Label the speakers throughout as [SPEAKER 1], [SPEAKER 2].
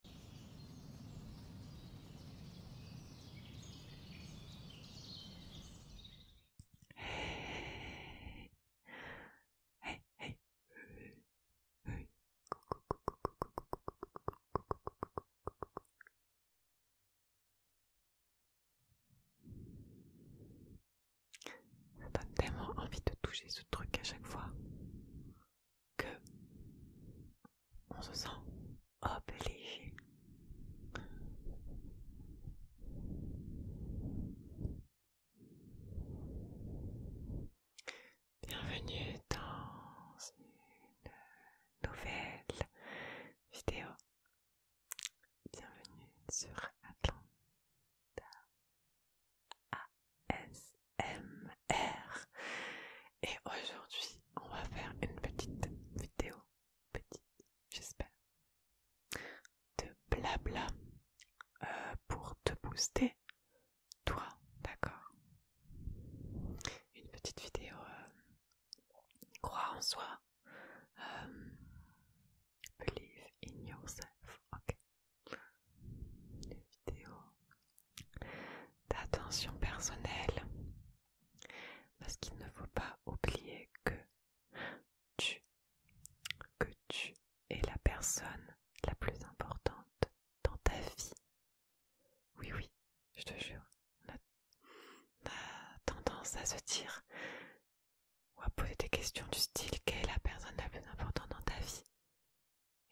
[SPEAKER 1] Ça donne tellement envie de toucher ce truc à chaque fois que on se sent obligé Bienvenue dans une nouvelle vidéo. Bienvenue sur Atlanta. R Et aujourd'hui, on va faire une petite vidéo, petite, j'espère, de blabla euh, pour te booster, toi, d'accord Une petite vidéo euh, croire en soi. Euh, believe in yourself, ok. Une vidéo d'attention personnelle. Parce qu'il ne faut pas oublier que tu, que tu es la personne la plus importante dans ta vie. Oui, oui, je te jure, on tendance à se dire ou à poser des questions du style quelle est la personne la plus importante dans ta vie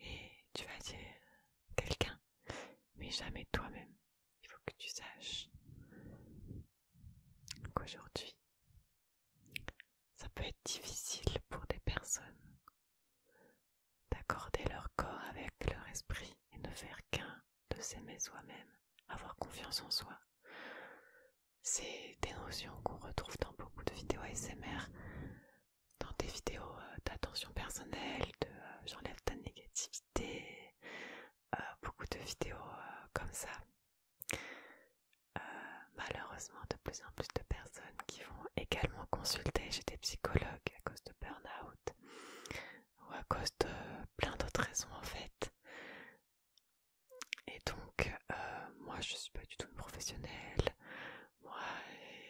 [SPEAKER 1] et tu vas dire quelqu'un, mais jamais toi-même. Il faut que tu saches qu'aujourd'hui, ça peut être difficile pour des personnes d'accorder leur corps avec leur esprit et ne faire qu'un de s'aimer soi-même, avoir confiance en soi. C'est des notions qu'on retrouve dans beaucoup de vidéos ASMR dans des vidéos euh, d'attention personnelle, de euh, j'enlève ta négativité, euh, beaucoup de vidéos comme ça. malheureusement, de plus en plus de personnes qui vont également consulter chez des psychologues à cause de burn-out ou à cause de plein d'autres raisons en fait. Et donc, moi je suis pas du tout une professionnelle, moi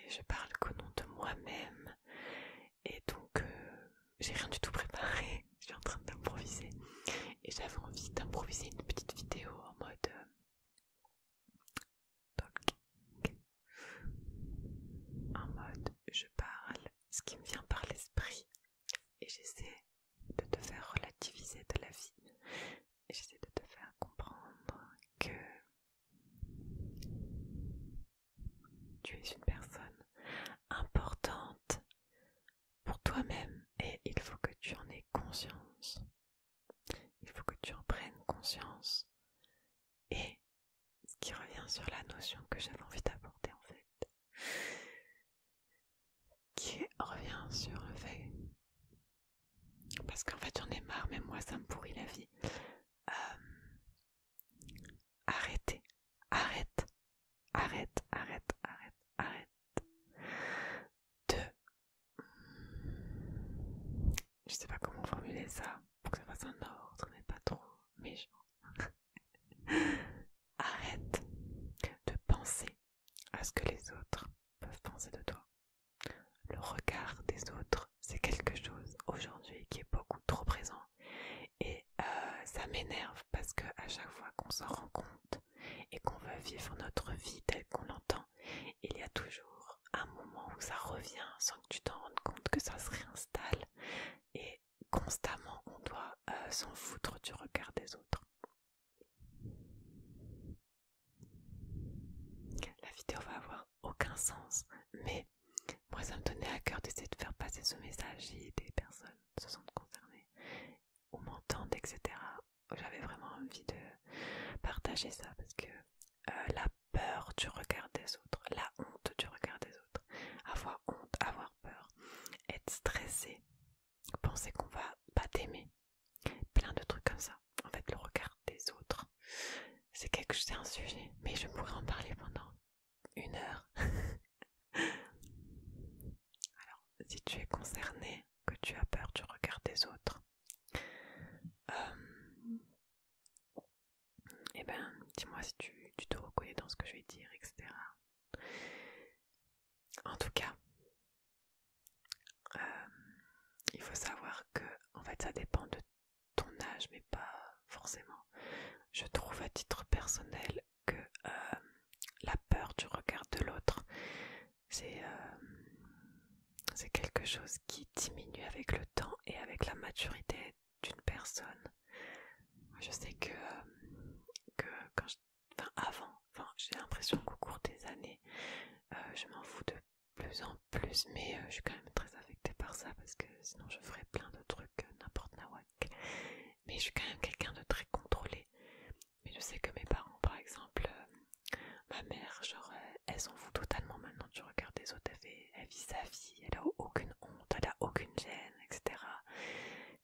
[SPEAKER 1] je parle qu'au nom de moi-même et donc euh, j'ai rien du tout préparé, je suis en train d'improviser et j'avais envie d'improviser une petite vidéo en mode euh, en mode je parle ce qui me vient par l'esprit et j'essaie de te faire relativiser de la vie et j'essaie de te faire comprendre que tu es une personne importante pour toi-même et il faut que tu en aies conscience. Il faut que tu en prennes conscience. Et ce qui revient sur la notion que j'avais envie d'apporter en fait, qui revient sur le fait... Parce qu'en fait j'en ai marre, mais moi ça me pourrit la vie. Euh, arrêtez, arrête, arrête, arrête, arrête, arrête de... Je sais pas comment formuler ça pour que ça fasse un ordre, mais pas trop méchant. arrête de penser à ce que les autres peuvent penser de toi. Le regard des autres, c'est quelque chose aujourd'hui qui est beaucoup trop présent et euh, ça m'énerve parce que à chaque fois qu'on s'en rend compte et qu'on veut vivre notre vie telle qu'on l'entend, il y a toujours un moment où ça revient sans que tu t'en rendes compte que ça se réinstalle et constamment on doit euh, s'en foutre du regard des autres. La vidéo va avoir aucun sens, mais moi ça me donnait à cœur d'essayer de faire passer ce message et des personnes se sentent concernées ou m'entendent, etc. J'avais vraiment envie de partager ça parce que euh, la peur du regard des autres, la honte du regard des autres, avoir honte, avoir peur, être stressé, penser qu'on va pas t'aimer, plein de trucs comme ça. En fait, le regard des autres, c'est quelque chose, c'est un sujet, mais je pourrais en parler pendant une heure. Alors, si tu es concerné, que tu as peur du regard des autres, et euh, eh ben, dis-moi si tu, te reconnais dans ce que je vais dire, etc. En tout cas, euh, il faut savoir que en fait ça dépend de ton âge, mais pas forcément. Je trouve à titre personnel que euh, la peur du regard de l'autre, euh, c'est quelque chose qui diminue avec le temps et avec la maturité d'une personne. Je sais que, euh, quand enfin avant, j'ai l'impression qu'au cours des années, je m'en fous de plus en plus, mais euh, je suis quand même très affectée par ça parce que sinon je ferais plein de trucs euh, n'importe nawak. Mais je suis quand même quelqu'un de très contrôlé. Mais je sais que mes parents, par exemple, euh, ma mère, genre, elle s'en fout totalement maintenant du regard des autres. Elle, fait, elle vit sa vie, elle a aucune honte, elle a aucune gêne, etc.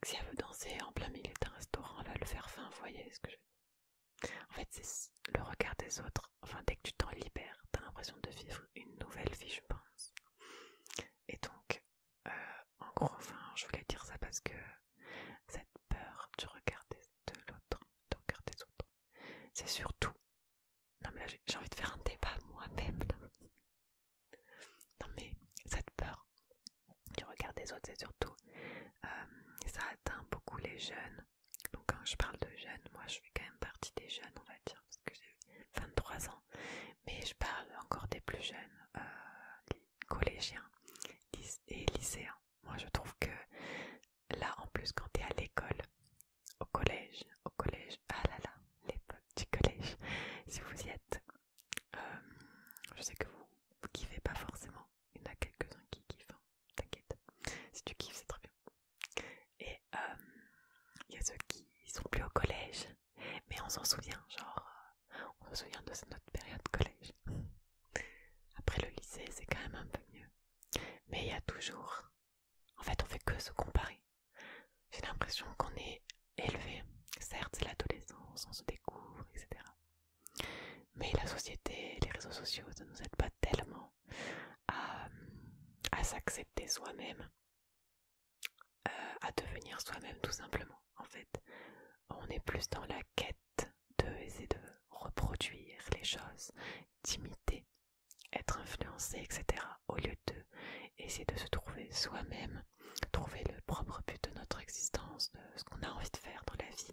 [SPEAKER 1] Si elle veut danser en plein milieu d'un restaurant, elle va le faire fin, vous voyez ce que je En fait, c'est le regard des autres Enfin, dès que tu t'en libères, t'as l'impression de vivre une nouvelle vie, je pense. Et donc, euh, en gros, enfin, je voulais dire ça parce que cette peur du regard de l'autre, des autres, c'est surtout. Non, mais là, j'ai envie de faire un débat moi-même. Non, mais cette peur du regard des autres, c'est surtout. Euh, ça atteint beaucoup les jeunes donc quand je parle de jeunes, moi je fais quand même partie des jeunes, on va dire, parce que j'ai 23 ans. Mais je parle encore des plus jeunes, euh, collégiens et lycéens. Moi je trouve que là en plus quand tu es à l'école, au collège, au collège, ah là là, l'époque du collège, si vous y êtes, euh, je sais que vous, kiffez pas forcément. Il y en a quelques-uns qui kiffent, hein, t'inquiète. Si tu kiffes, c'est très bien. Et il euh, y a ceux qui sont plus au collège, mais on s'en souvient, genre, euh, on se souvient de notre période collège. Après le lycée, c'est quand même un peu mieux. Mais il y a toujours... En fait, on fait que se comparer. J'ai l'impression qu'on est élevé. Certes, c'est l'adolescence, on se découvre, etc. Mais la société, les réseaux sociaux ne nous aide pas tellement à, s'accepter soi-même, euh, à devenir soi-même tout simplement. En fait, on est plus dans la quête de essayer de reproduire les choses, d'imiter, être influencé, etc. Au lieu de essayer de se trouver soi-même, trouver le propre but de notre existence, de ce qu'on a envie de faire dans la vie,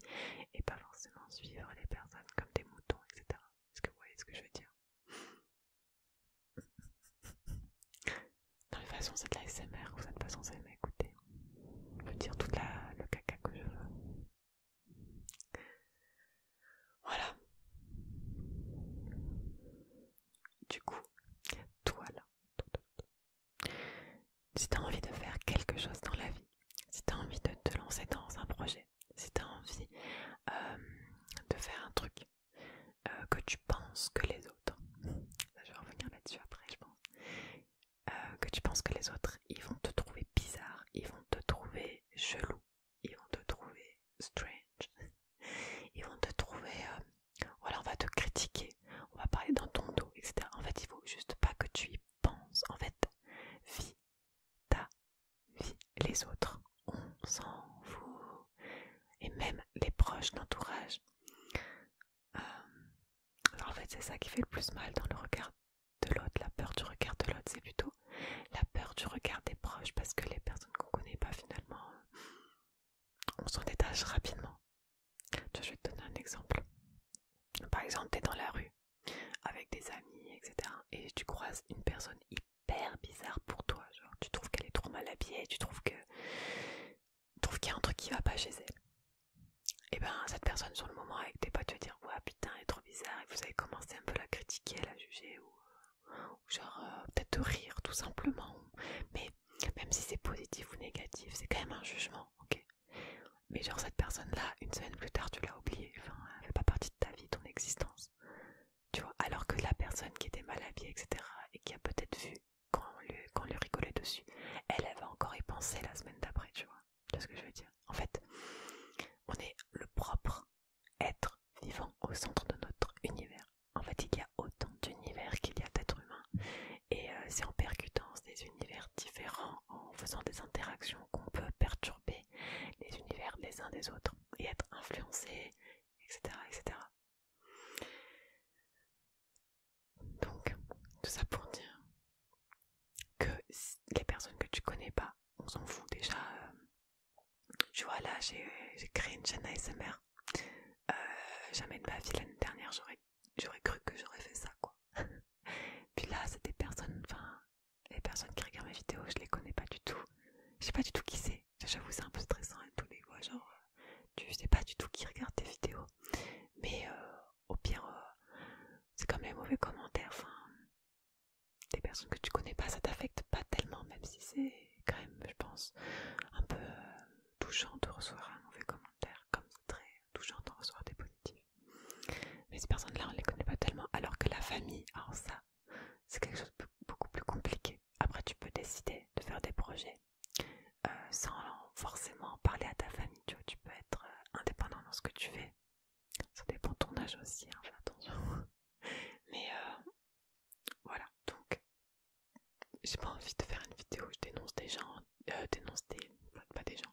[SPEAKER 1] et pas forcément suivre les personnes comme des moutons, etc. Est-ce que vous voyez ce que je veux dire Dans toute façon, c'est de la SMR, vous n'êtes pas censé m'écouter. Je peux dire tout le caca que je veux. Voilà. Du coup, toi là, si tu as envie de faire quelque chose dans la vie, si tu as envie de te lancer dans un projet, si tu envie euh, de faire un truc euh, que tu penses que les autres, je vais revenir là-dessus après, je pense, euh, que tu penses que les autres ils vont te trouver bizarre, ils vont te trouver jaloux ils vont te trouver strange, ils vont te trouver. voilà, on va te critiquer, on va parler dans ton dos, etc. En fait, il faut juste pas que tu y penses. En fait, vis ta vie. Les autres, on s'en fout. Et même les proches, d'entourage. Euh, alors en fait, c'est ça qui fait le plus mal dans le regard de l'autre. La peur du regard de l'autre, c'est plutôt la peur du regard des proches parce que les personnes qu'on connaît pas finalement, on s'en détache rapidement. je vais te donner un exemple. Par exemple, tu dans la rue avec des amis, etc. Et tu croises une personne hyper bizarre pour toi. Genre, tu trouves qu'elle est trop mal habillée, tu trouves que trouves qu'il y a un truc qui va pas chez elle. Et ben cette personne sur le moment avec tes potes tu vas dire ouais putain elle est trop bizarre et vous avez commencé un peu à la critiquer, à la juger ou, genre euh, peut-être de rire tout simplement. Mais même si c'est positif ou négatif, c'est quand même un jugement, ok Mais genre cette personne là, une semaine plus tard tu l'as oubliée elle fait pas partie de ta vie, ton existence. Tu vois, alors que la personne qui était mal habillée, etc., et qui a peut-être vu quand on lui, quand rigolait dessus, elle, avait encore y penser la semaine d'après, tu vois. ce que je veux dire En fait, on est le propre être vivant au centre de notre univers. En fait, il y a autant d'univers qu'il y a d'êtres humains. Et euh, c'est en percutant des univers différents, en faisant des interactions, qu'on peut perturber les univers les uns des autres et être influencés, etc. etc. Donc, tout ça pour dire que les personnes que tu connais pas, on s'en fout déjà. Euh, tu vois, là, j'ai créé une chaîne ASMR. Euh, jamais de ma vie l'année dernière, j'aurais cru que j'aurais fait ça, quoi. Puis là, c'est des personnes, enfin, les personnes qui regardent mes vidéos, je les connais pas du tout. Je sais pas du tout qui c'est. J'avoue, c'est un peu stressant et tout, mais voix genre, euh, tu sais pas du tout qui regarde tes vidéos. Mais euh, au pire, euh, c'est comme les mauvais commentaires. Enfin, des personnes que tu connais pas, ça t'affecte pas tellement, même si c'est quand même, je pense, un peu touchant de recevoir un mauvais commentaire, comme c'est très touchant de recevoir des positifs. Mais ces personnes-là, on les connaît pas tellement. Alors que la famille, alors ah, ça, c'est quelque chose de beaucoup plus compliqué. Après, tu peux décider de faire des projets euh, sans forcément parler à ta famille. Tu, peux être euh, indépendant dans ce que tu fais. Ça dépend de ton âge aussi, hein, fais attention. Mais euh, voilà, donc j'ai pas envie de faire une vidéo où je dénonce des gens, euh, dénonce des, pas des gens,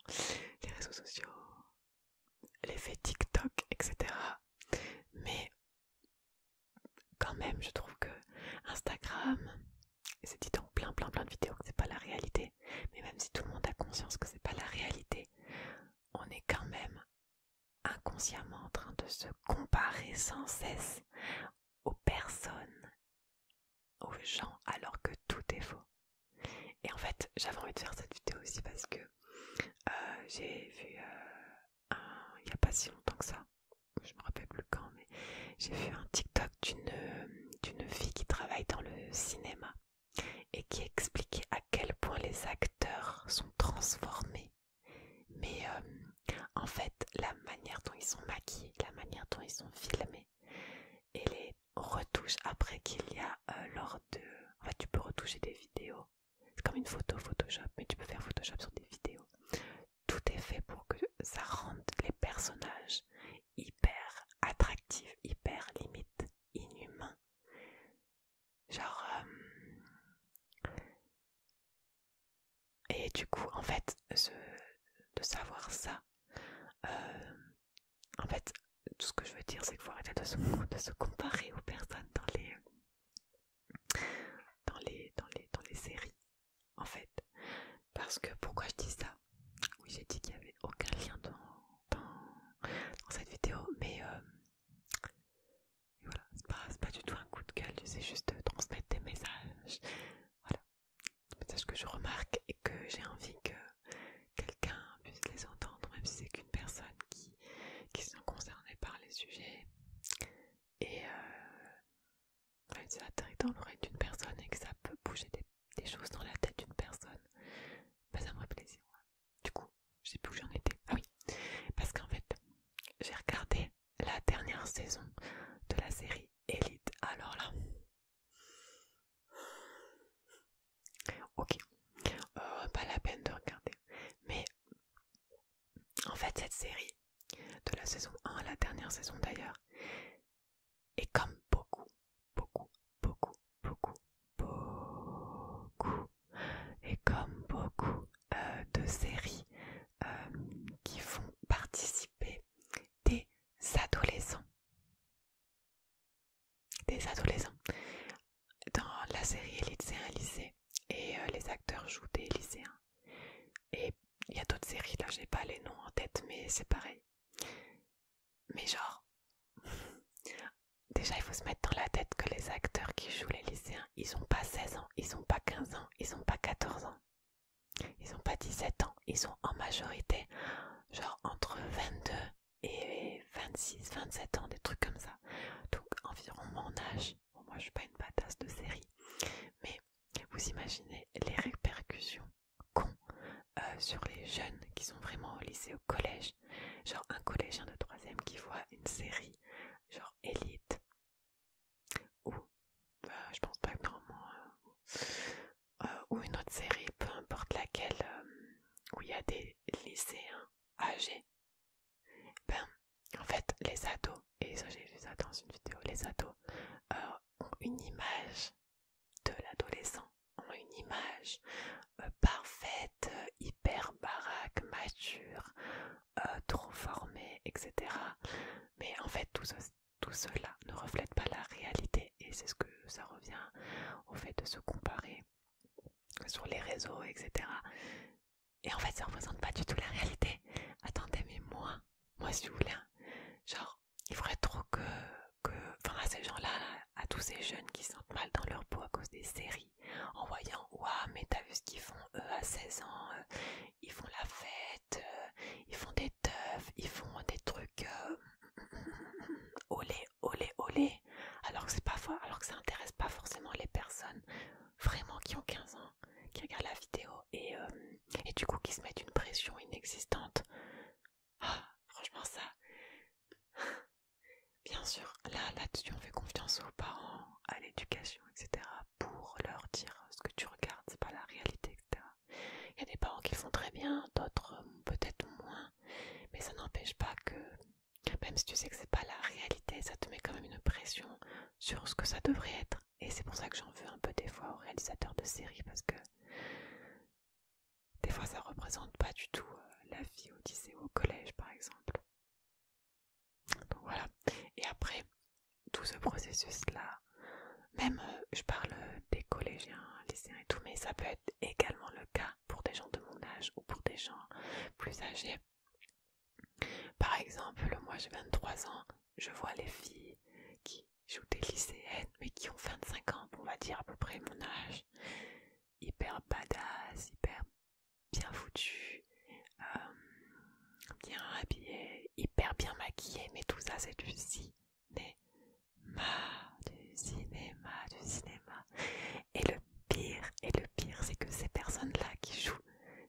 [SPEAKER 1] des réseaux sociaux, l'effet TikTok, etc. Mais quand même, je trouve que Instagram, c'est dit en plein, plein, plein de vidéos que c'est pas la réalité. Mais même si tout le monde a conscience que c'est pas la réalité, on est quand même inconsciemment en train de se comparer sans cesse aux personnes, aux gens, alors que tout est faux. Et en fait, j'avais envie de faire cette vidéo aussi parce que euh, j'ai vu euh, il n'y a pas si longtemps que ça, je me rappelle plus quand, mais j'ai vu un TikTok d'une fille qui travaille dans le cinéma et qui expliquait à quel point les acteurs sont transformés. Mais euh, en fait, la manière dont ils sont maquillés, la manière dont ils sont filmés et les retouches après qu'il y a l'ordre en fait, tu peux retoucher des vidéos. C'est comme une photo Photoshop, mais tu peux faire Photoshop sur des vidéos. Tout est fait pour que ça rende les personnages hyper attractifs, hyper limite inhumains. Genre... Euh, et du coup, en fait, ce... de savoir ça, euh, en fait, tout ce que je veux dire, c'est qu'il faut arrêter de se, comparer aux personnes dans les, euh, dans les, dans les, dans les séries, en fait. Parce que pourquoi je dis ça Oui, j'ai dit qu'il n'y avait aucun lien dans, cette vidéo, mais euh, voilà, c'est pas, pas du tout un coup de gueule, c'est juste de euh, transmettre des messages. Voilà, des messages que je remarque et que j'ai envie que quelqu'un puisse les entendre, même si c'est qu'une personne qui, qui sont concernées par les sujets. Et euh, même si ça dans l'oreille d'une personne et que ça peut bouger des, des choses dans la tête d'une personne, bah ça me fait plaisir. Du coup, je sais plus où j'en étais. Ah oui, parce qu'en fait, j'ai regardé la dernière saison de la série Elite. Alors là, Ok, euh, pas la peine de regarder. Mais en fait, cette série de la saison 1, la dernière saison d'ailleurs, est comme beaucoup, beaucoup, beaucoup, beaucoup, beaucoup, et comme beaucoup euh, de séries euh, qui font participer des adolescents des adolescents. Dans la série un lycée et euh, les acteurs jouent des lycéens. Et il y a d'autres séries, là j'ai pas les noms en tête, mais c'est pareil. Mais genre, déjà il faut se mettre dans la tête que les acteurs qui jouent les lycéens, ils ont pas 16 ans, ils ont pas 15 ans, ils ont pas 14 ans, ils ont pas 17 ans, ils sont en majorité genre entre 22 et 26, 27 ans, des trucs comme ça. Donc environ mon âge. Bon, moi je suis pas une badass de série, mais vous imaginez les répercussions qu'ont euh, sur les jeunes qui sont vraiment au lycée, au collège. Genre un collégien de 3 qui voit une série, genre élite, ou bah, je pense pas que normalement, euh, ou une autre série, peu importe laquelle, euh, où il y a des lycéens âgés. Ben, en fait, les ados, et ça j'ai vu ça dans une vidéo, les ados euh, ont une image de l'adolescent, ont une image euh, parfaite, euh, hyper baraque, mature, trop formée, etc. Mais en fait, tout cela ne reflète pas la réalité et c'est ce que ça revient au fait de se comparer sur les réseaux, etc. Et en fait, ça représente pas du tout la réalité. Attendez, mais moi, moi si vous voulez, hein. genre, il faudrait trop que, que, enfin, à ces gens-là, à tous ces jeunes qui se sentent mal dans leur peau à cause des séries, en voyant, waouh, mais t'as vu ce qu'ils font eux à 16 ans, euh, ils font la fête, euh, ils font des teufs, ils font des trucs euh, olé, olé, olé. Alors que c'est pas alors que ça n'intéresse pas forcément les personnes vraiment qui ont 15 ans, qui regardent la vidéo euh, et, du coup qui se mettent une pression inexistante. Ah, franchement ça. Bien sûr, là, là-dessus, on fait confiance aux parents, à l'éducation, etc. pour leur dire ce que tu regardes, c'est pas la réalité, etc. Il y a des parents qui le font très bien, d'autres peut-être moins, mais ça n'empêche pas que même si tu sais que c'est pas la réalité, ça te met quand même une pression sur ce que ça devrait être. Et c'est pour ça que j'en veux un peu des fois aux réalisateurs de séries parce que des fois ça représente pas du tout euh, la vie au lycée ou au collège par exemple. Donc voilà. Et après tout ce processus là, même euh, je parle euh, des collégiens, lycéens et tout, mais ça peut être également le cas pour des gens de mon âge ou pour des gens plus âgés. Par exemple, moi j'ai 23 ans, je vois les filles qui jouent des lycéennes mais qui ont 25 ans, on va dire à peu près mon âge, hyper badass, hyper bien foutues, euh, bien habillées, hyper bien maquillées, mais tout ça c'est du si, du cinéma, du cinéma. Et le pire, et le pire, c'est que ces personnes-là qui jouent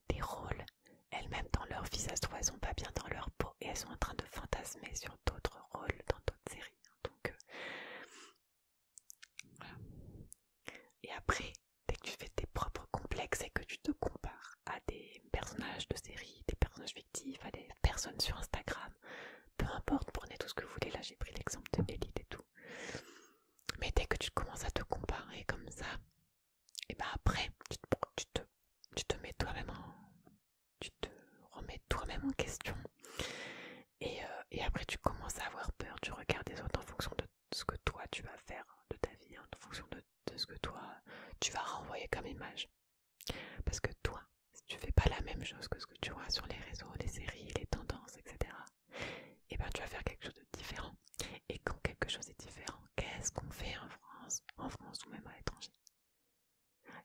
[SPEAKER 1] des rôles, elles-mêmes dans leur visage ça elles pas bien dans leur peau et elles sont en train de fantasmer sur d'autres rôles dans d'autres séries. Hein. Donc, euh, Et après, dès que tu fais tes propres complexes et que tu te compares à des personnages de séries, des personnages fictifs, à des personnes sur Instagram, peu importe, prenez tout ce que vous voulez. Là, j'ai pris l'exemple de et tout. Mais dès que tu commences à te comparer comme ça, et eh ben après, tu te, mets toi-même Tu te remets toi-même en question. Et, euh, après, tu commences à avoir peur tu regardes les autres en fonction de ce que toi tu vas faire de ta vie, en fonction de ce que toi tu vas renvoyer comme image. Parce que toi, si tu fais pas la même chose que ce que tu vois sur les réseaux, les séries, les tendances, etc., et eh bien tu vas faire quelque chose de différent. Et quand quelque chose est différent, qu'est-ce qu'on fait en France, en France ou même à l'étranger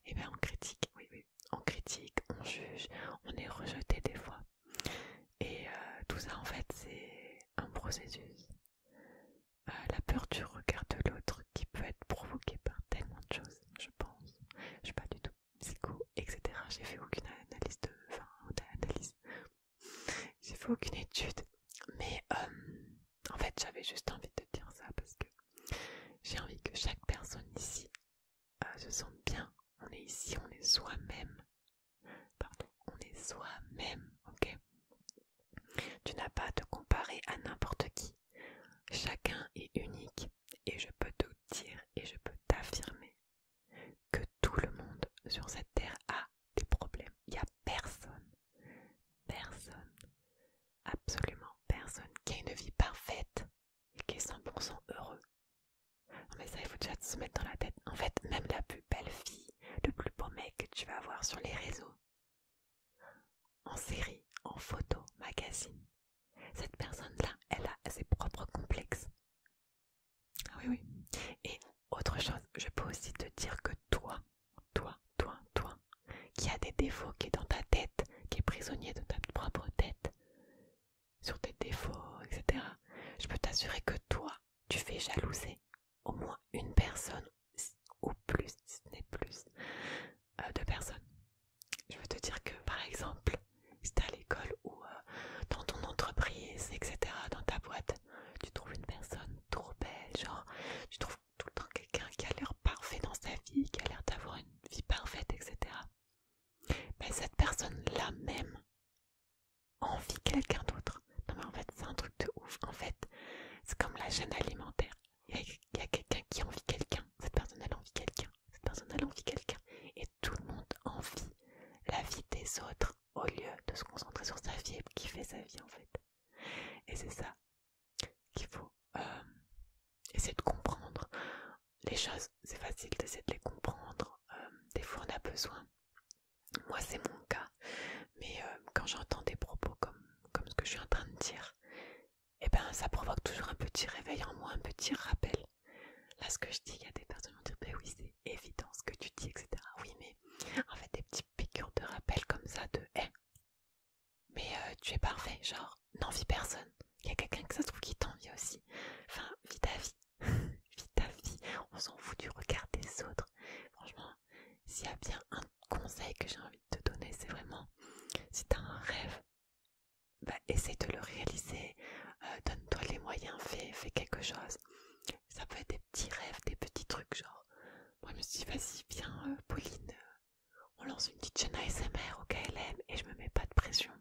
[SPEAKER 1] Eh bien on critique, oui, oui, on critique, on juge, on est rejeté des fois. Et euh, tout ça en fait c'est un processus. Euh, la peur du regard de l'autre qui peut être provoquée par tellement de choses, je pense. Je sais pas du tout psycho, etc. J'ai fait aucune analyse de. Enfin, aucune analyse. J'ai fait aucune étude. Mais euh, en fait, j'avais juste envie de dire ça parce que j'ai envie que chaque personne ici euh, se sente bien. On est ici, on est soi-même. Pardon, on est soi-même, ok Tu n'as pas à te comparer à n'importe qui. Chacun est unique, et je peux te dire et je peux t'affirmer que tout le monde sur cette terre a des problèmes. Il n'y a personne, personne, absolument personne qui a une vie parfaite et qui est 100% heureux. Non mais ça, il faut déjà se mettre dans la tête. En fait, même la plus belle fille, le plus beau mec que tu vas voir sur les réseaux, en série, en photo, magazine, cette personne-là, elle a ses propres complexes. Ah oui, oui. Et autre chose, je peux aussi te dire que toi, toi, toi, toi, qui a des défauts, qui est dans ta tête, qui est prisonnier de ta propre tête, sur tes défauts, etc., je peux t'assurer que toi, tu fais jalouser au moins une personne ou plus, si ce n'est plus, deux de personnes je veux te dire que par exemple, si t'es à l'école ou euh, dans ton entreprise, etc., dans ta boîte, tu trouves une personne trop belle, genre tu trouves tout le temps quelqu'un qui a l'air parfait dans sa vie, qui a l'air d'avoir une vie parfaite, etc. Mais cette personne-là même envie quelqu'un d'autre. Non mais en fait c'est un truc de ouf. En fait c'est comme la chaîne alimentaire. Il y a, a quelqu'un qui envie quelqu'un. Cette personne elle envie quelqu'un cette personne envie quelqu'un. Et tout le monde envie la vie des autres au lieu de se concentrer sur sa vie et qui fait sa vie en fait. Et c'est ça qu'il faut euh, essayer de comprendre. Les choses, c'est facile d'essayer de les comprendre. Euh, des fois, on a besoin. Moi, c'est mon cas. Mais euh, quand j'entends des propos comme, comme ce que je suis en train de dire, eh ben, ça provoque toujours un petit réveil en moi, un petit rappel. Là, ce que je dis, il y a des personnes qui vont dire, ben oui, c'est évident ce que tu dis, etc. Oui, mais en fait, des petites piqûres de rappel comme ça, de, hé, eh, mais euh, tu es parfait, genre, n'envie personne. Il y a quelqu'un que ça se trouve qui t'envie aussi. Enfin, vite ta vie. vite ta vie. On s'en fout du regard des autres. Franchement, s'il y a bien un conseil que j'ai envie de te donner, c'est vraiment, si t'as un rêve, bah, essaye de le réaliser, euh, donne-toi les moyens, fais, fais quelque chose. Ça peut être des petits rêves, des petits trucs, genre. Moi, je me suis dit, vas-y, viens, euh, Pauline, euh, on lance une petite chaîne ASMR au KLM et je me mets pas de pression.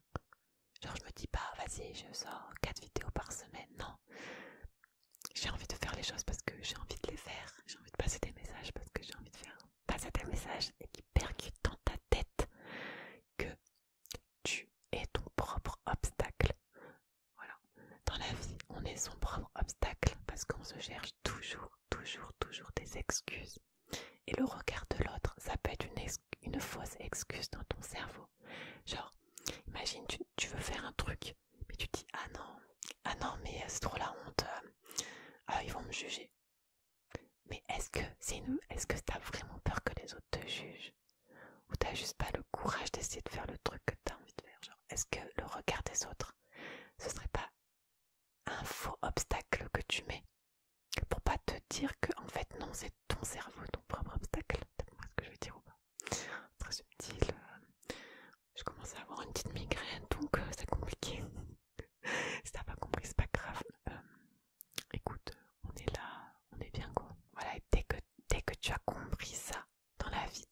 [SPEAKER 1] Genre, je me dis pas, bah, vas-y, je sors 4 vidéos par semaine, non. J'ai envie de faire les choses parce que j'ai envie de les faire, j'ai envie de passer des messages parce que j'ai envie de faire passe à tel message et qui percute dans ta tête que tu es ton propre obstacle. Voilà. Dans la vie, on est son propre obstacle parce qu'on se cherche toujours, toujours, toujours des excuses. Et le regard de l'autre, ça peut être une, fausse excuse dans ton cerveau. Genre, imagine, tu, veux faire un truc, mais tu dis Ah non, ah non, mais c'est trop la honte, euh, ah, ils vont me juger. Mais est-ce que c'est nous Est-ce que t'as vraiment peur que les autres te jugent Ou t'as juste pas le courage d'essayer de faire le truc que t'as envie de faire Genre, est-ce que le regard des autres, ce serait pas un faux obstacle que tu mets pour pas te dire que en fait non c'est ton cerveau ton propre obstacle T'as ce que je veux dire ou pas Très subtil. Euh, je commence à avoir une petite migraine donc euh, c'est compliqué. si t'as pas compris c'est pas grave. Euh, écoute, on est là, on est bien con Voilà, et dès que, tu as compris ça dans la vie,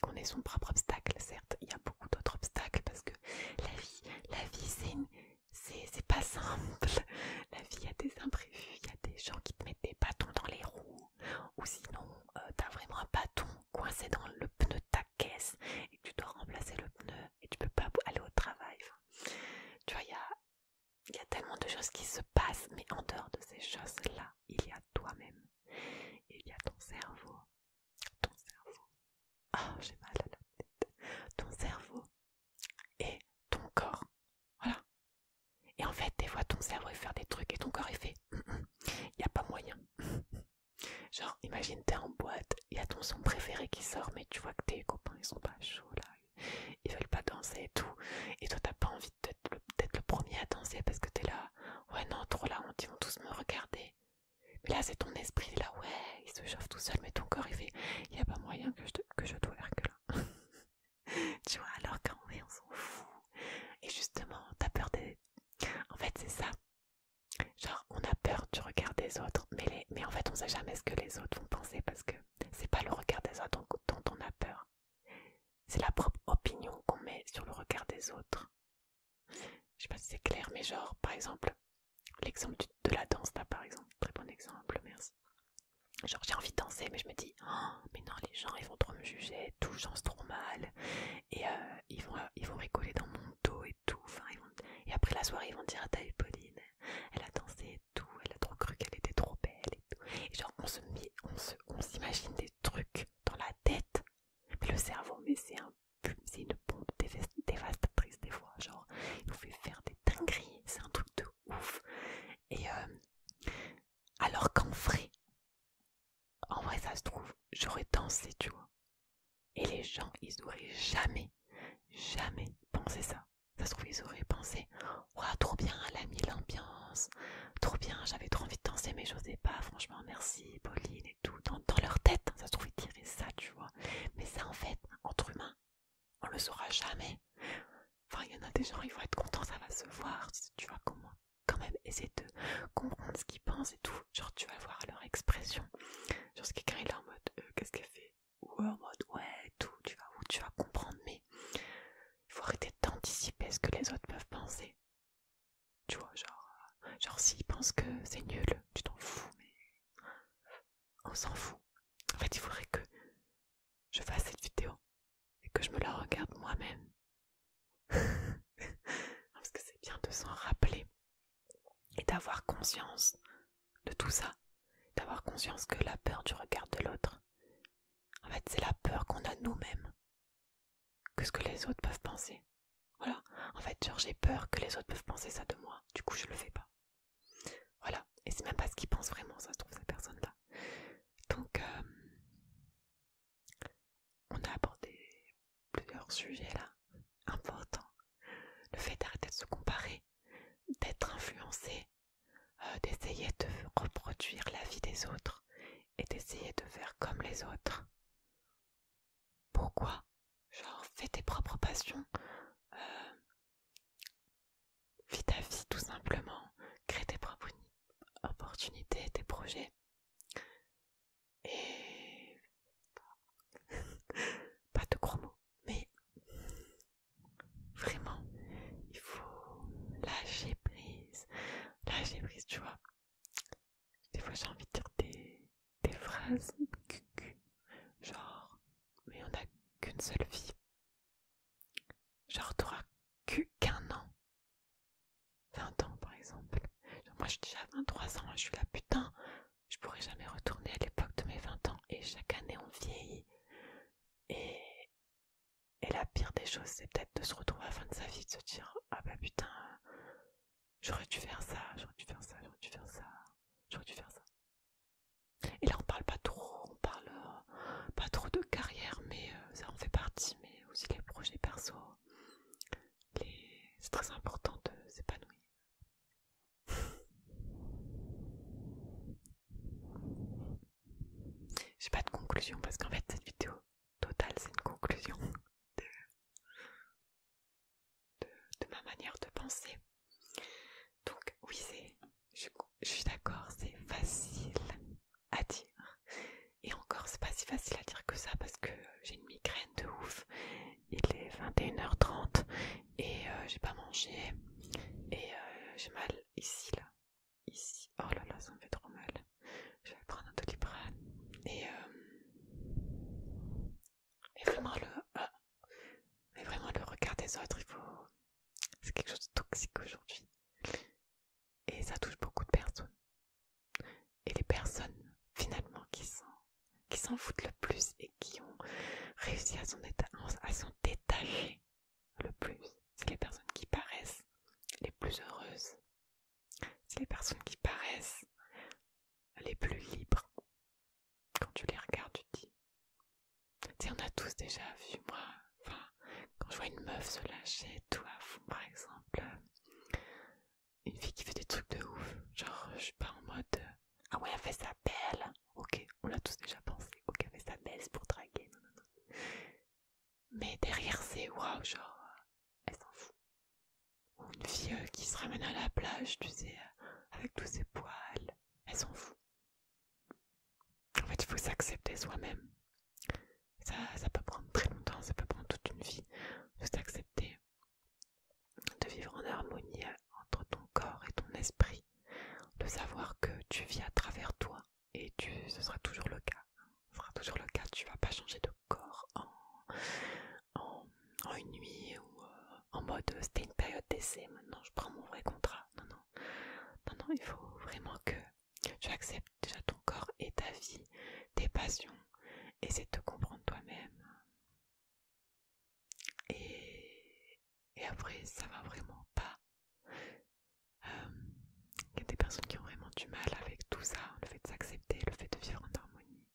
[SPEAKER 1] qu'on est son propre obstacle, certes, il y a beaucoup d'autres obstacles parce que la vie, la vie c'est c'est pas simple. La vie, a des imprévus, il y a des gens qui te mettent des bâtons dans les roues. Ou sinon, euh, t'as vraiment un bâton coincé dans le pneu de ta caisse et tu dois remplacer le pneu et tu peux pas aller au travail. tu vois, il y a, tellement de choses qui se passent, mais en dehors de ces choses-là, il y a toi-même. Il y a ton cerveau. Ton cerveau. Oh, j'ai mal à la tête. Ton cerveau et ton corps. Voilà. Et en fait, des fois, ton cerveau, il fait des trucs et ton corps, il fait. Il n'y a pas moyen. Genre, imagine, t'es en boîte, il y a ton son préféré qui sort, mais tu vois que tes copains, ils sont pas chauds ils veulent pas danser et tout. Et toi, t'as pas envie d'être le, le premier à danser parce que t'es là, ouais, non, trop là on ils vont tous me regarder. Mais là, c'est ton esprit, là, ouais, il se chauffe tout seul, mais ton corps, il fait, il y a pas moyen que je, te, que je dois que là. tu vois, alors qu'en vrai, on s'en fout. Et justement, t'as peur des. En fait, c'est ça. Genre, on a peur du regard des autres, mais, en fait on sait jamais ce que les autres vont penser parce que c'est pas le regard des autres dont on a peur. C'est la propre opinion qu'on met sur le regard des autres. Je sais pas si c'est clair, mais genre, par exemple, l'exemple de la danse, là, par exemple, très bon exemple, merci. Genre, j'ai envie de danser, mais je me dis, oh, mais non, les gens, ils vont trop me juger, tout se trop mal, et euh, ils, vont, ils vont rigoler dans mon dos, et Et après la soirée, ils vont dire ta Pauline Elle a dansé tout, elle a trop cru qu'elle était trop belle et tout. genre, on se on s'imagine des trucs dans la tête. Mais le cerveau, mais c'est un c'est une bombe dévastatrice des fois. Genre, il nous fait faire des dingueries. C'est un truc de ouf. Et euh, alors qu'en vrai, en vrai, ça se trouve, j'aurais dansé, tu vois. Et les gens, ils n'auraient jamais, jamais pensé ça. Ça se trouve, ils auraient pensé Ouah, trop bien, elle a mis l'ambiance, trop bien, j'avais trop envie de danser, mais je j'osais pas, franchement, merci, Pauline et tout. Dans, leur tête, ça se trouve, ils ça, tu vois. Mais ça, en fait, entre humains, on le saura jamais. Enfin, il y en a des gens, ils vont être contents, ça va se voir, tu vois, comment quand même essayer de comprendre ce qu'ils pensent et tout. Genre, tu vas voir leur expression. Genre, ce qui là, en mode euh, Qu'est-ce qu'elle fait ou en mode ouais tout tu vas où tu vas comprendre mais il faut arrêter d'anticiper ce que les autres peuvent penser tu vois genre euh, genre s'ils pensent que c'est nul tu t'en fous mais on s'en fout en fait il faudrait que je fasse cette vidéo et que je me la regarde moi-même parce que c'est bien de s'en rappeler et d'avoir conscience de tout ça, d'avoir conscience que la peur du regard de l'autre, en fait c'est la peur qu'on a nous-mêmes que ce que les autres peuvent penser. Voilà, en fait genre j'ai peur que les autres peuvent penser ça de moi, du coup je le fais pas. Voilà, et c'est même pas ce qu'ils pensent vraiment, ça se trouve cette personne là Donc euh, on a abordé plusieurs sujets là, importants. Le fait d'arrêter de se comparer d'être influencé, euh, d'essayer de reproduire la vie des autres et d'essayer de faire comme les autres. Pourquoi Genre, fais tes propres passions, euh, vis ta vie tout simplement, crée tes propres opportunités, tes projets. Et. Pas de gros mots mais vraiment, il faut lâcher prise, lâcher prise, tu vois. Des fois, j'ai envie de dire des, phrases genre, mais on n'a qu'une seule vie. Genre, t'auras qu'un an. 20 ans, par exemple. moi, je suis déjà 23 ans, je suis là, putain, je pourrais jamais retourner à l'époque de mes 20 ans et chaque année on vieillit. Et, la pire des choses, c'est peut-être de se retrouver à la fin de sa vie, de se dire Ah bah putain, j'aurais dû faire ça, j'aurais dû faire ça, j'aurais dû faire ça, j'aurais dû faire ça. Et là, on parle pas trop, on parle euh, pas trop de carrière, mais euh, ça en fait partie, mais aussi les projets perso. C'est très important de s'épanouir. J'ai pas de conclusion parce qu'en fait cette vidéo totale c'est une conclusion de, ma manière de penser. Donc oui c'est, je suis d'accord, c'est facile à dire. Et encore c'est pas si facile à dire que ça parce que j'ai une migraine de ouf il est 21h30 et euh, j'ai pas mangé et euh, j'ai mal ici là ici oh là là ça me fait trop mal je vais prendre un doliprane et, euh, et vraiment le vraiment le regard des autres il faut c'est quelque chose de toxique aujourd'hui et ça touche beaucoup de personnes et les personnes finalement qui sont qui s'en foutent le plus et qui ont réussi à s'en détacher le plus, c'est les personnes qui paraissent les plus heureuses. C'est les personnes qui paraissent les plus libres. Quand tu les regardes, tu dis. Tu sais, on a tous déjà vu, moi, enfin, quand je vois une meuf se lâcher, tout à par exemple, euh, une fille qui fait des trucs de ouf, genre, je suis pas en mode. Euh, ah ouais, elle fait sa belle Ok, on l'a tous déjà pensé. Ok, elle fait sa belle, c'est pour draguer. Mais derrière, c'est waouh, genre, elle s'en fout. Ou une fille qui se ramène à la plage, tu sais, avec tous ses poils. Elle s'en fout. En fait, il faut s'accepter soi-même. Ça, ça peut prendre très longtemps, ça peut prendre toute une vie de s'accepter, de vivre en harmonie euh, entre ton corps et ton esprit, de savoir que tu vis à travers toi et tu, ce sera toujours le cas. Ce sera toujours le cas, tu vas pas changer de corps en, en, une nuit ou euh, en mode euh, c'était une période d'essai, maintenant je prends mon vrai contrat. Non, non, il faut vraiment que tu acceptes déjà ton corps et ta vie, tes passions, essaie de te comprendre toi-même, et, après, ça va vraiment pas. il euh, y a des personnes qui ont vraiment du mal avec tout ça, le fait de s'accepter, le fait de vivre en harmonie.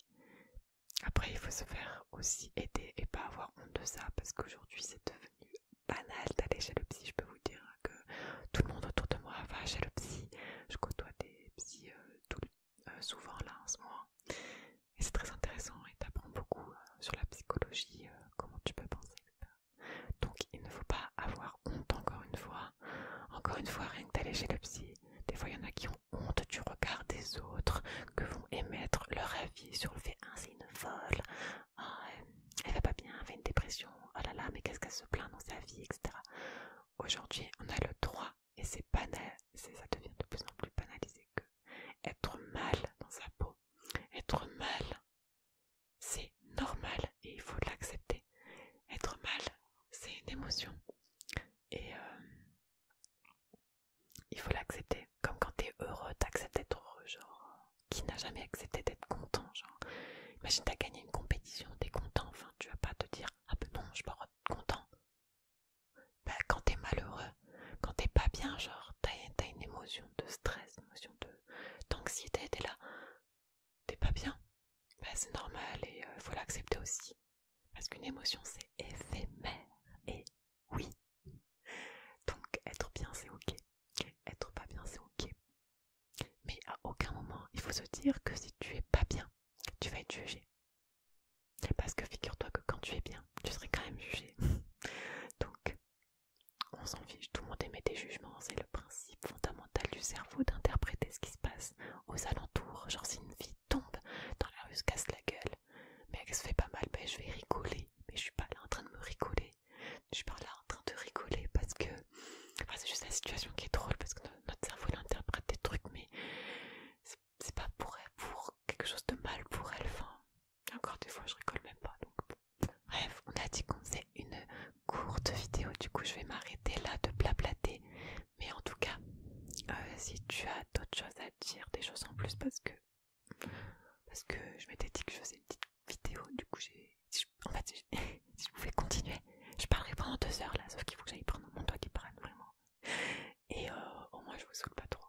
[SPEAKER 1] Après, il faut se faire aussi aider et pas avoir honte de ça, parce qu'aujourd'hui, c'est devenu banal d'aller chez le psy. Je peux vous dire que tout le monde autour de moi va chez le psy. Je côtoie des psys euh, euh, souvent là en ce moment. Et c'est très intéressant et t'apprends beaucoup euh, sur la psychologie, euh, comment tu peux penser, ça Donc il ne faut pas avoir honte encore une fois. Encore une fois, rien que d'aller chez le psy. Des fois, il y en a qui ont honte du regard des autres, que vont émettre leur avis sur le fait « Ah, c'est une folle ah, elle va pas bien, elle a une dépression, oh là là, mais qu'est-ce qu'elle se plaint dans sa vie, etc. » Aujourd'hui, on a le droit, et c'est banal, ça devient de plus en plus banalisé que être mal dans sa peau, être mal, c'est normal et il faut l'accepter. Être mal, c'est une émotion et euh, il faut l'accepter. Comme quand t'es heureux, t'acceptes d'être heureux, genre qui n'a jamais accepté d'être content, genre imagine t'as gagné une compétition, t'es content, enfin tu vas pas te dire ah ben non, je suis pas content. Bah, quand t'es malheureux, quand t'es pas bien, genre t'as une émotion de stress, une émotion d'anxiété, t'es là, t'es pas bien, bah, c'est normal et il euh, faut l'accepter aussi. Parce qu'une émotion c'est éphémère et oui. Donc être bien c'est ok, être pas bien c'est ok. Mais à aucun moment il faut se dire que si tu es pas bien, tu vas être jugé, parce que figure-toi que quand tu es bien, tu serais quand même jugé. Donc, on s'en fiche, tout le monde émet des jugements, c'est le principe fondamental du cerveau d'interpréter ce qui se passe aux alentours. Genre, si une fille tombe dans la rue, se casse la gueule, mais elle se fait pas mal, ben je vais rigoler, mais je suis pas là en train de me rigoler. Je suis pas là en train de rigoler parce que. c'est juste la situation qui est drôle parce que notre cerveau il interprète des trucs, mais c'est pas pour elle, pour quelque chose de mal pour elle. Enfin, encore des fois, je rigole même pas. Donc. Bref, on a dit qu'on faisait une courte vidéo, du coup, je vais m'arrêter là de blablater. Mais en tout cas, euh, si tu as d'autres choses à dire, des choses en plus, parce que parce que je m'étais dit que je faisais une petite vidéo, du coup, j'ai si je, pouvais continuer, je parlerai pendant deux heures là, sauf qu'il faut que j'aille prendre mon doigt qui parle vraiment. Et euh, au moins je vous saoule pas trop.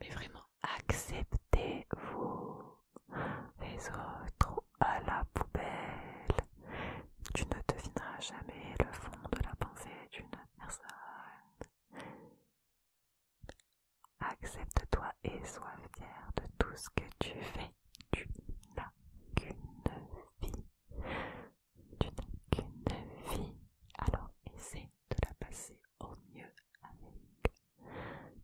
[SPEAKER 1] Mais vraiment, acceptez-vous. Les autres à la poubelle. Tu ne devineras jamais le fond de la pensée d'une personne. Accepte-toi et sois fier de tout ce que tu fais. Tu n'as qu'une vie. Tu n'as qu'une vie, alors essaie de la passer au mieux avec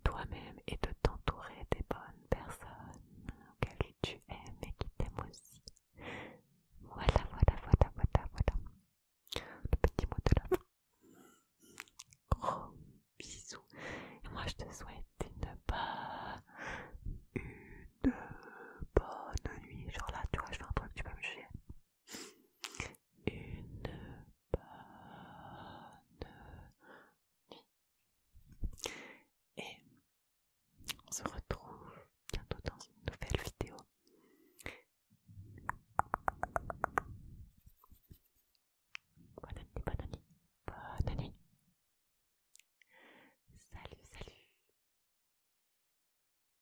[SPEAKER 1] toi-même et de t'entourer des bonnes personnes auxquelles tu aimes et qui t'aiment aussi. Voilà, voilà, voilà, voilà, voilà. Le petit mot de la fin. Gros bisous. Et moi, je te souhaite une bonne, nuit. Genre là, tu vois, je fais un truc, tu peux me chier une bonne nuit. Et on se retrouve bientôt dans une nouvelle vidéo. Bonne nuit, bonne nuit, bonne nuit. Salut, salut.